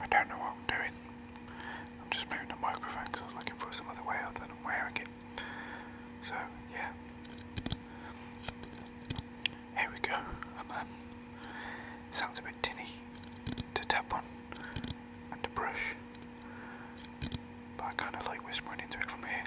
I don't know what I'm doing. I'm just moving the microphone because I was looking for some other way other than I'm wearing it. So, yeah. Here we go. Um, sounds a bit tinny to tap on and to brush, but I kind of like whispering into it from here.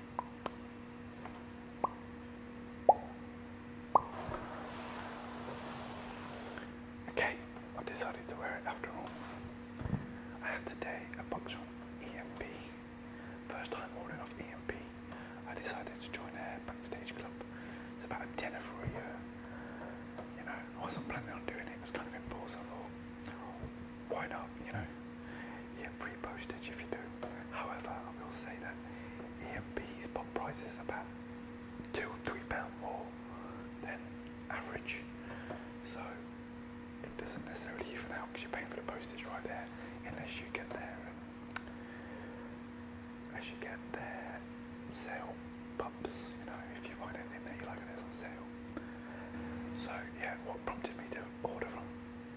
Okay, i decided to wear it after all. I have today a box from EMP. First time ordering off EMP, I decided to join a backstage club. It's about a dinner for a year. You know, I wasn't planning on doing it, it was kind of impulsive why not? You know, get free postage if you do. However, I will say that EMP's pop price is about two or three pound more than average, so it doesn't necessarily even out because you're paying for the postage right there, unless you get there. Um, you get their sale pumps, you know, if you find anything that you like that's on sale. So yeah, what prompted me to order from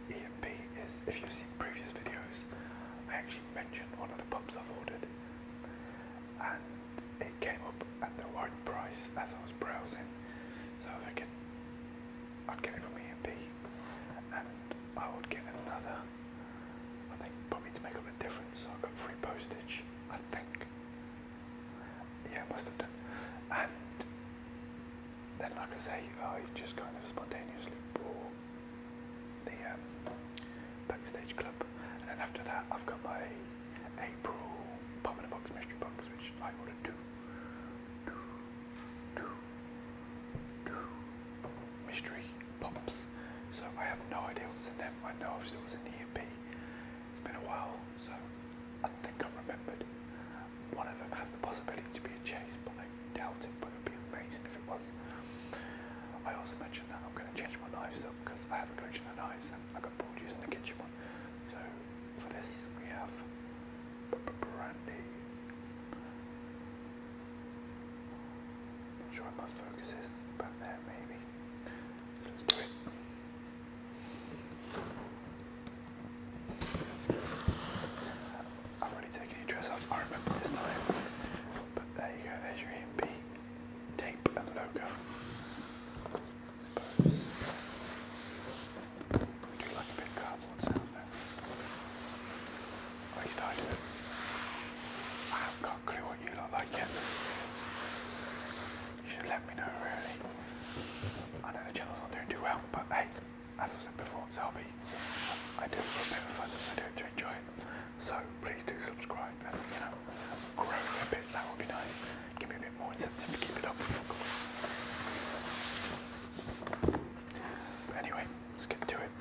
EMP is, if you've seen previous videos, I actually mentioned one of the pubs I've ordered, and it came up at the right price as I was browsing, so I figured I'd get it from EMP, and I would get another. I think probably to make up the difference, so I got free postage. I think yeah, must have done. And then, like I say, I oh, just kind of spontaneously bought the um, Backstage Club. And then after that, I've got my April Pop in a mystery box, which I ordered two. Two, mystery pops. So I have no idea what's in them. I know obviously what's in the EP. It's been a while, so I think I've remembered. One of them has the possibility to be a chase, but I doubt it, but it would be amazing if it was. I also mentioned that I'm going to change my knives up because I have a collection of knives and I got bored using the kitchen one. So for this, we have brandy. Not sure where my focus is, but there maybe. So let's do it. I've already taken your dress off, I remember this time. But there you go, there's your EMP tape and logo. I suppose. like a cardboard sound though. At least I haven't clue what you look like yet you should let me know really. I know the channel's not doing too well, but hey, as i said before, it's hobby. I do it for a bit of fun I do it to enjoy it. So please do subscribe you know grow a bit, that would be nice. Give me a bit more incentive to keep it up. But anyway, let's get to it.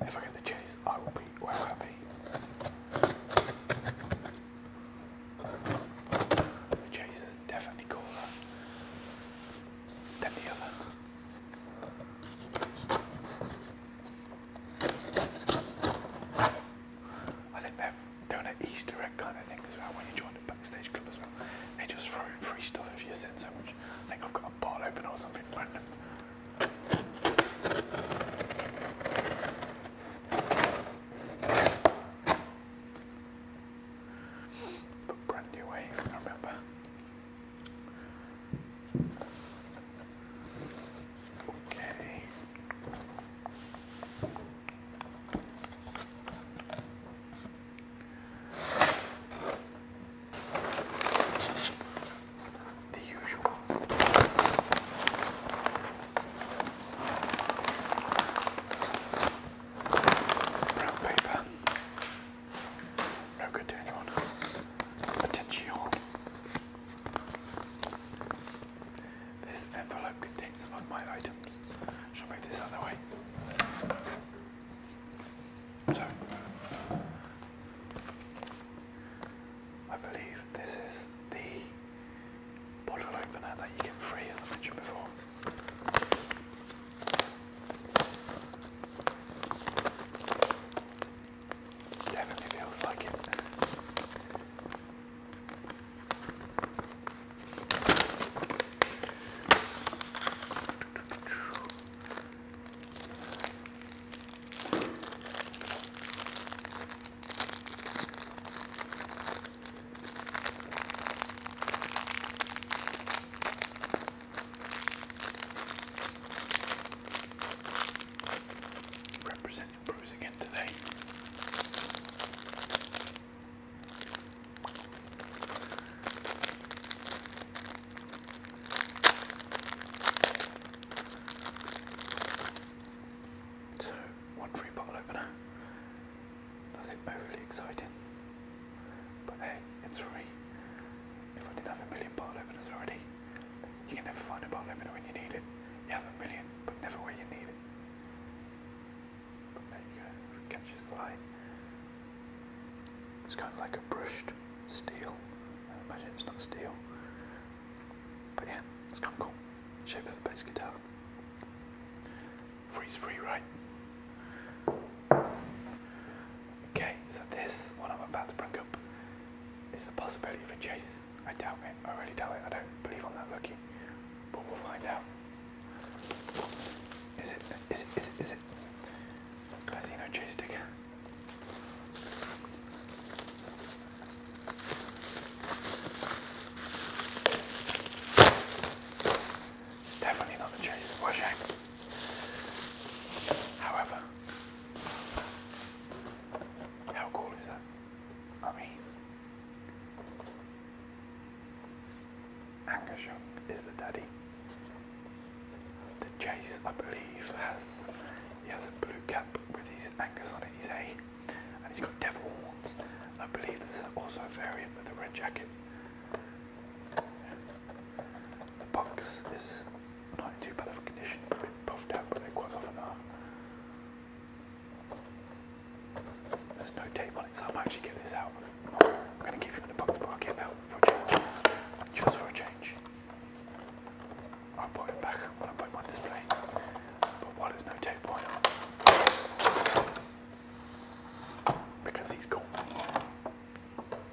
If I get the chilies, I will be well happy. The chase is definitely cooler than the other. I think they're doing an Easter egg kind of thing as well when you join backstage club as well. They just throw free stuff if you send so much. I think I've got a bottle open or something random. But brand new way, I remember. Okay. The usual. Brown paper. No good to anyone. Attention. This envelope contains some of my items. Shall move this other way. So, I believe this is the bottle open, that you get free, as I mentioned before. Definitely feels like it. Representing Bruce again today. So one free bottle opener. Nothing overly exciting. But hey, it's free. If I didn't have a million bottle openers already, you can never find a bottle opener when you need it. You have a million, but never where you need it. But there you go, it catches the light. It's kind of like a brushed steel. I uh, imagine it's not steel. But yeah, it's kind of cool. Shape of a bass guitar. Freeze free, right? Okay, so this, what I'm about to bring up, is the possibility of a chase. I doubt it, I really doubt it, I don't believe I'm that lucky, but we'll find out. Is it, is it, is it, is it? Casino chase sticker. It's definitely not the chase of Washang. However, how cool is that? I mean, Angershung is the daddy. The chase, I believe, has he has a blue cap with his anchors on it. He's a and he's got devil horns. I believe there's also a variant with a red jacket. The box is not in too bad of a condition, a bit puffed out, but they quite often are. There's no tape on it, so I might actually get this out. I'm going to keep it in the box, but I'll get it out for a change. Just for a change. I'll put it back when I put it on display. But why no take point on? Because he's cool.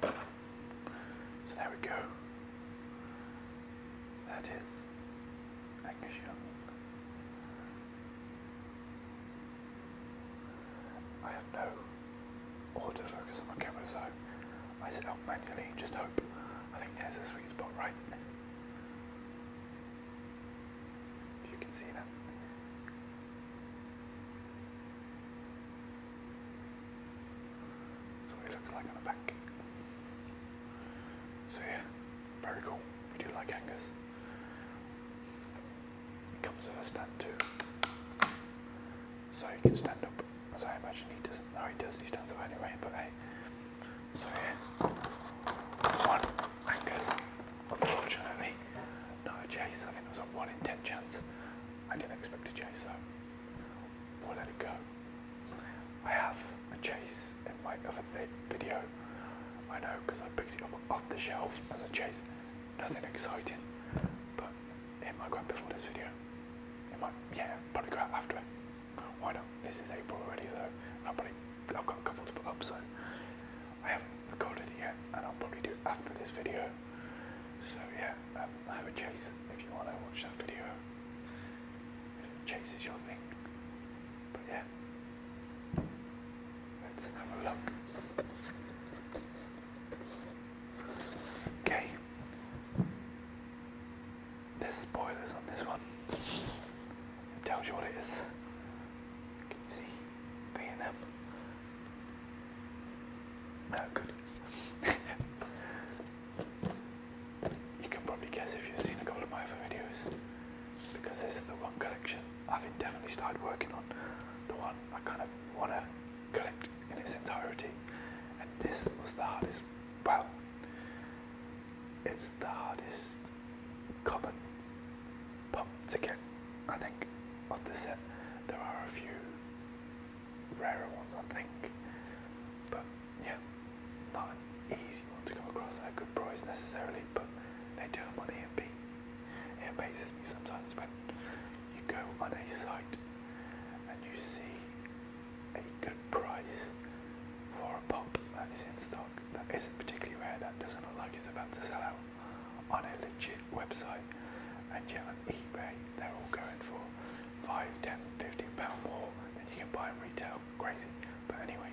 So there we go. That is Agnes I have no autofocus on my camera, so I set up manually and just hope. I think there's a sweet spot, right? If you can see that. That's what it looks like on the back. So yeah, very cool. We do like hangers. comes with a stand too. So he can stand up, as I imagine he doesn't. No, he does, he stands up anyway, but hey. So yeah, one anchors. Unfortunately, no chase. I think it was a one in ten chance. I didn't expect a chase, so we'll let it go. I have a chase in my other video. I know because I picked it up off the shelves as a chase. Nothing exciting, but it might grab before this video. It might, yeah, probably grab after it. Why not? This is April already, so i have got a couple to put up, so I haven't recorded it yet, and I'll probably do it after this video. So yeah, um, have a chase if you want to watch that video. If chase is your thing, but yeah, let's have a look. Okay, there's spoilers on this one. It tells you what it is. Can you see? V&M. No, good. you can probably guess if you've seen a couple of my other videos because this is the one collection I've definitely started working on. The one I kind of want to collect in its entirety. And this was the hardest, well, it's the hardest common pub to get, I think, of the set. There are a few rarer ones, I think, but yeah, not an easy one to come across at a good price necessarily, but they do them on EMP. It amazes me sometimes when you go on a site and you see a good price for a pop that is in stock that isn't particularly rare, that doesn't look like it's about to sell out on a legit website. And yet on eBay, they're all going for five, ten, pound more than you can buy in retail. Crazy. But anyway,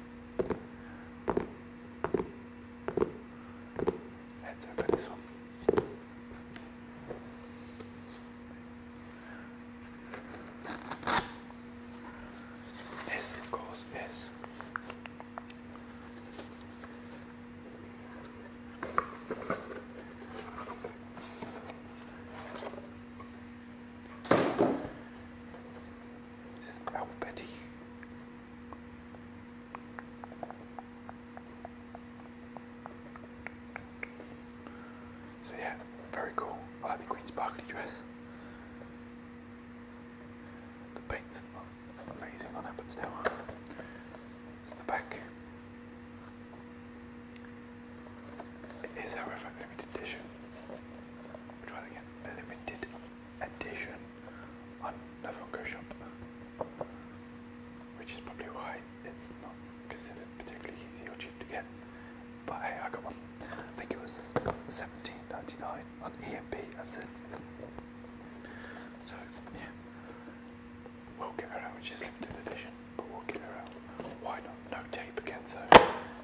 let's open this one. S equals S. This is alphabet E. So yeah, very cool. I like green sparkly dress. The paint's amazing on it, but still. It's the back. It is, however, limited edition. try it again. limited edition on the Funko Shop, which is probably why it's not considered particularly easy or cheap to get. But hey, I got one. I think it was 17.99 on EMP, that's it. So, yeah. We'll get her out, she's limited edition, but we'll get her out. Why not? No tape again, so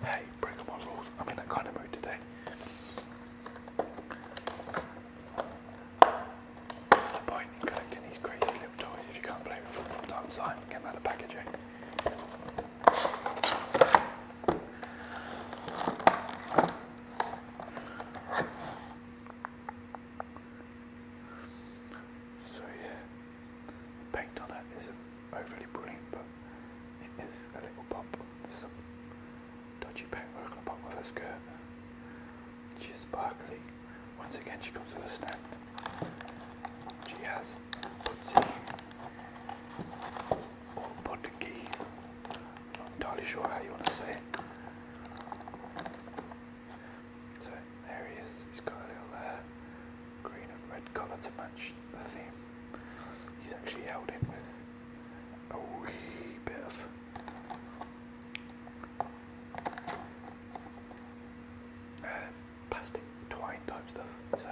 hey, bring on my rules. I'm in that kind of mood today. What's the point in collecting these crazy little toys if you can't play with them from time to get out of packaging? Eh? So yeah, the paint on it isn't overly brilliant, but it is a little pop. There's some dodgy paintwork on the bottom of her skirt. She's sparkly. Once again, she comes with a stand. She has Let's see. Or Bodigy. Not entirely sure how you want to say it. So there he is. He's got a little green and red colour to match the theme. He's actually held in with a wee bit of plastic twine type stuff. So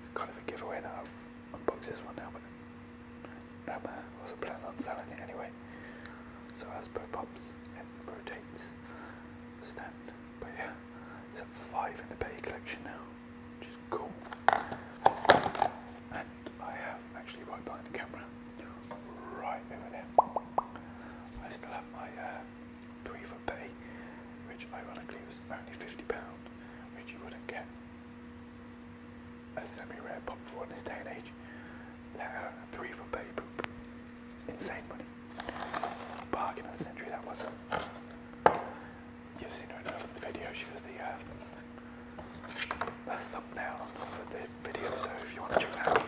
it's kind of a giveaway that I've unboxed this one now, but I wasn't planning on selling it anyway. So as per pops, it rotates the stand. But yeah, so that's five in the bay collection now, which is cool. And I have actually right behind the camera, right over there. I still have my uh, three for pay, which ironically was only £50, which you wouldn't get a semi-rare pop for in this day and age, let alone a three for pay boop. Insane money. Bargain of the century that was. You've seen her enough in the video, she was uh, the, thumbnail for the video, so if you want to check that out,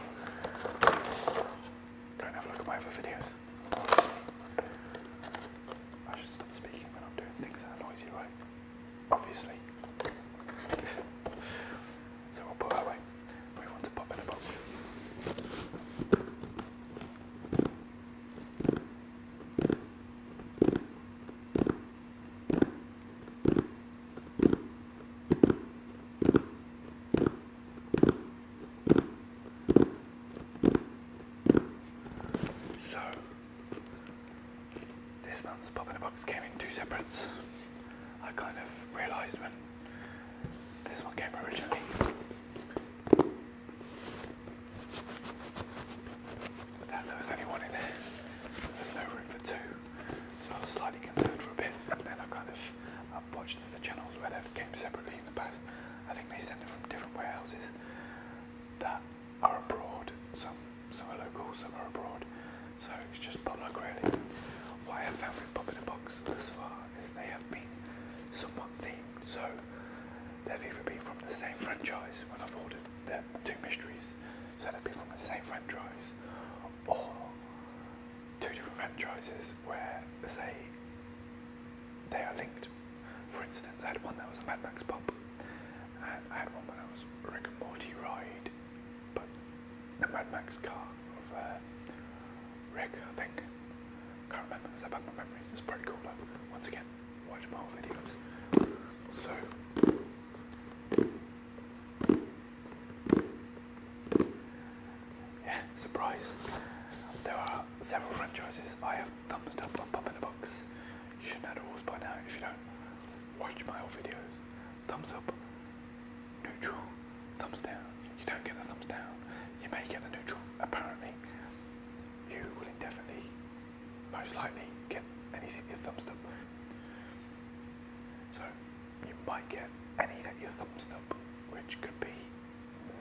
go and have a look at my other videos. Honestly. I should stop speaking when I'm doing things that annoys right? Obviously. so we'll put her away. Move on to pop in a box. So, this month's Pop in a Box came in two separate. I kind of realised when this one came originally. That there was only one in there. There's no room for two. So I was slightly concerned for a bit and then I kind of I've watched the channels where they've came separately in the past I think they send it from different warehouses that are abroad. Some some are local, some are abroad. So it's just potluck really. What have found with popping in a Box thus far is they have been somewhat themed. So they've even been from the same franchise when I've ordered the two mysteries, so they've been from the same franchise, or two different franchises where say they are linked. For instance, I had one that was a Mad Max pop, I had one that was a Rick and Morty ride, but a Mad Max car of uh, Rick, I think. Can't remember. It's about my memories. It's pretty cool. Though. Once again, watch my old videos. So. Yeah, surprise. There are several franchises I have thumbs up on in the Box. You should know the rules by now. If you don't, watch my old videos. Thumbs up, neutral, thumbs down. You don't get a thumbs down. You may get a neutral, apparently. You will indefinitely, most likely, get anything you thumbs up. So, you might get any that you thumbs up, which could be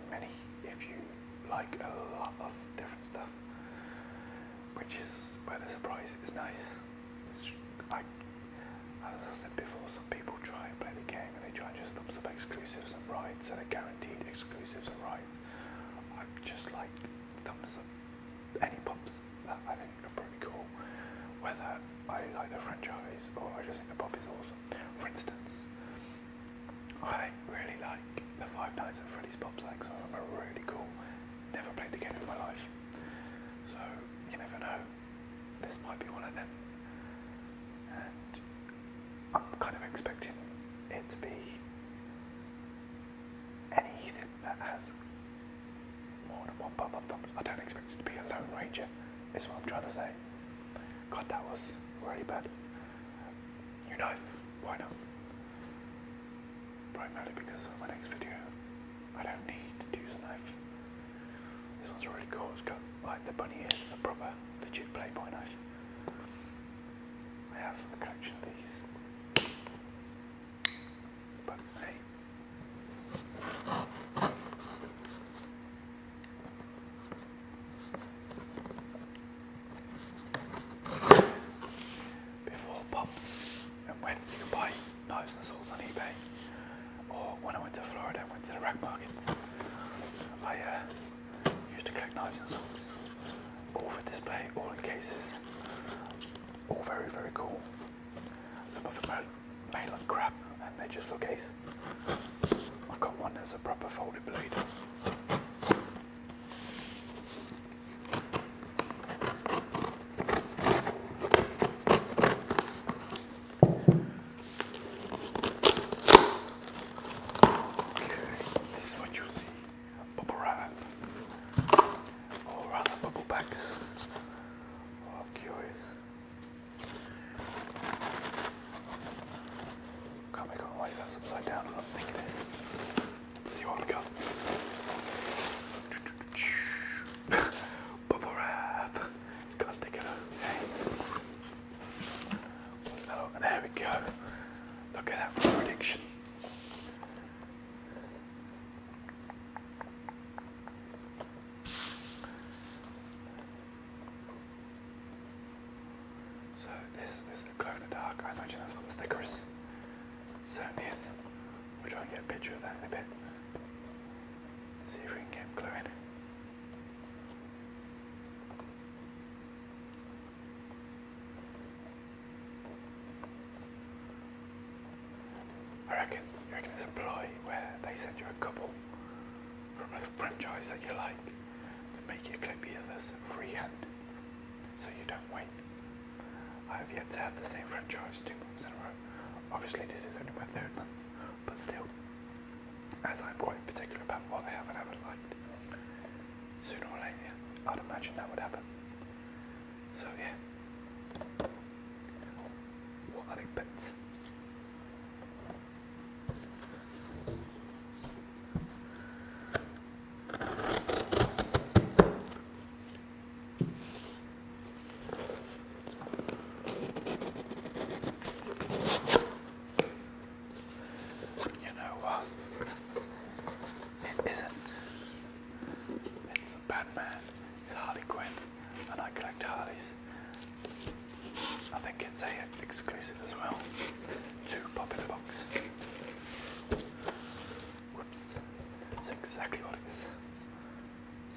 many if you like a lot of different stuff, which is where the surprise is nice. I, as I said before, some people try and play the game and they try and just thumbs up exclusives and rights so they're guaranteed exclusives and rights. I just like thumbs up any pops that I think are pretty cool, whether I like the franchise or I just think the pop is awesome. For instance, I really like the Five Nights at Freddy's Pop Slanks. So I remember really cool. Never played the game in my life. So you never know. This might be one of them. And I'm kind of expecting it to be anything that has more than one pop up thumbs. I don't expect it to be a Lone Ranger, is what I'm trying to say. God, that was really bad. New knife, why not? Primarily because for my next video, I don't need to use a knife. This one's really cool. It's got like the bunny ears. It's a proper, legit Playboy knife. I have a collection of these, but hey. Before Pops and when you can buy knives and swords on eBay, or when I went to Florida and went to the rag markets, I uh, used to collect knives and swords, all for display, all in cases, all very, very cool. Some of them made like crap and they just look ace. I've got one that's a proper folded blade. Okay, this is what you see. Bubble wrap. Or rather bubble bags. I'm curious. Can't make my way if upside down. think it is. see what we got. Bubble wrap. It's got a sticker. Okay. there we go. Look at that prediction. So this is a glow in the dark. I imagine that's what the sticker is. It certainly is. We'll try and get a picture of that in a bit. See if we can get him glowing. I reckon, you reckon it's a ploy where they send you a couple from a franchise that you like to make you clip the others freehand so you don't wait. I have yet to have the same franchise two months in a row. Obviously, this is only my third month, but still, as I'm quite particular about what I have and haven't liked, sooner or later, I'd imagine that would happen. So, yeah. What are the you know what? It isn't. It's a Batman. It's Harley Quinn, and I collect Harleys. I think it's a exclusive as well. Two pop in the box. Whoops, that's exactly what it is.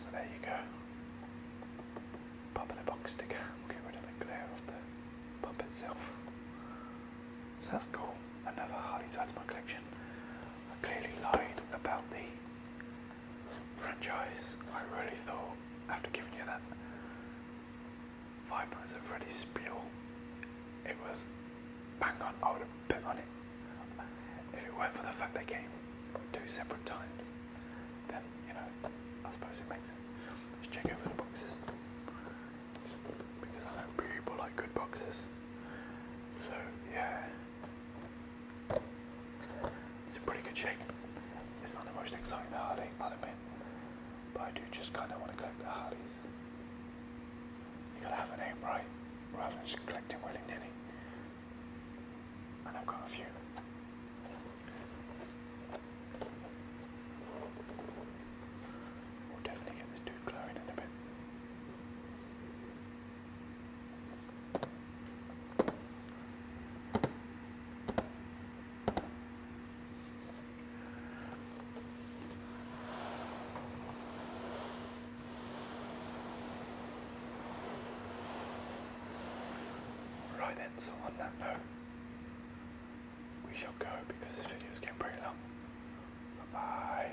So there you go. Pop in the box sticker. We'll get rid of the glare of the pop itself. So that's cool. Another Harley to add to my collection. I clearly lied about the franchise. I really thought, after giving you that Five minutes of Freddy's spiel, it was bang on. I would have bet on it. If it weren't for the fact they came two separate times, then, you know, I suppose it makes sense. Let's check over the boxes. Because I know people like good boxes. So, yeah. It's in pretty good shape. It's not the most exciting Harley, I'll admit, but I do just kind of want to collect the Harleys. You gotta have a name, right? Rather than just collecting willy nilly. And I've got a few. We'll definitely get this dude glowing in a bit. Right then, so on that note, we shall go because this video is getting pretty long. Bye bye.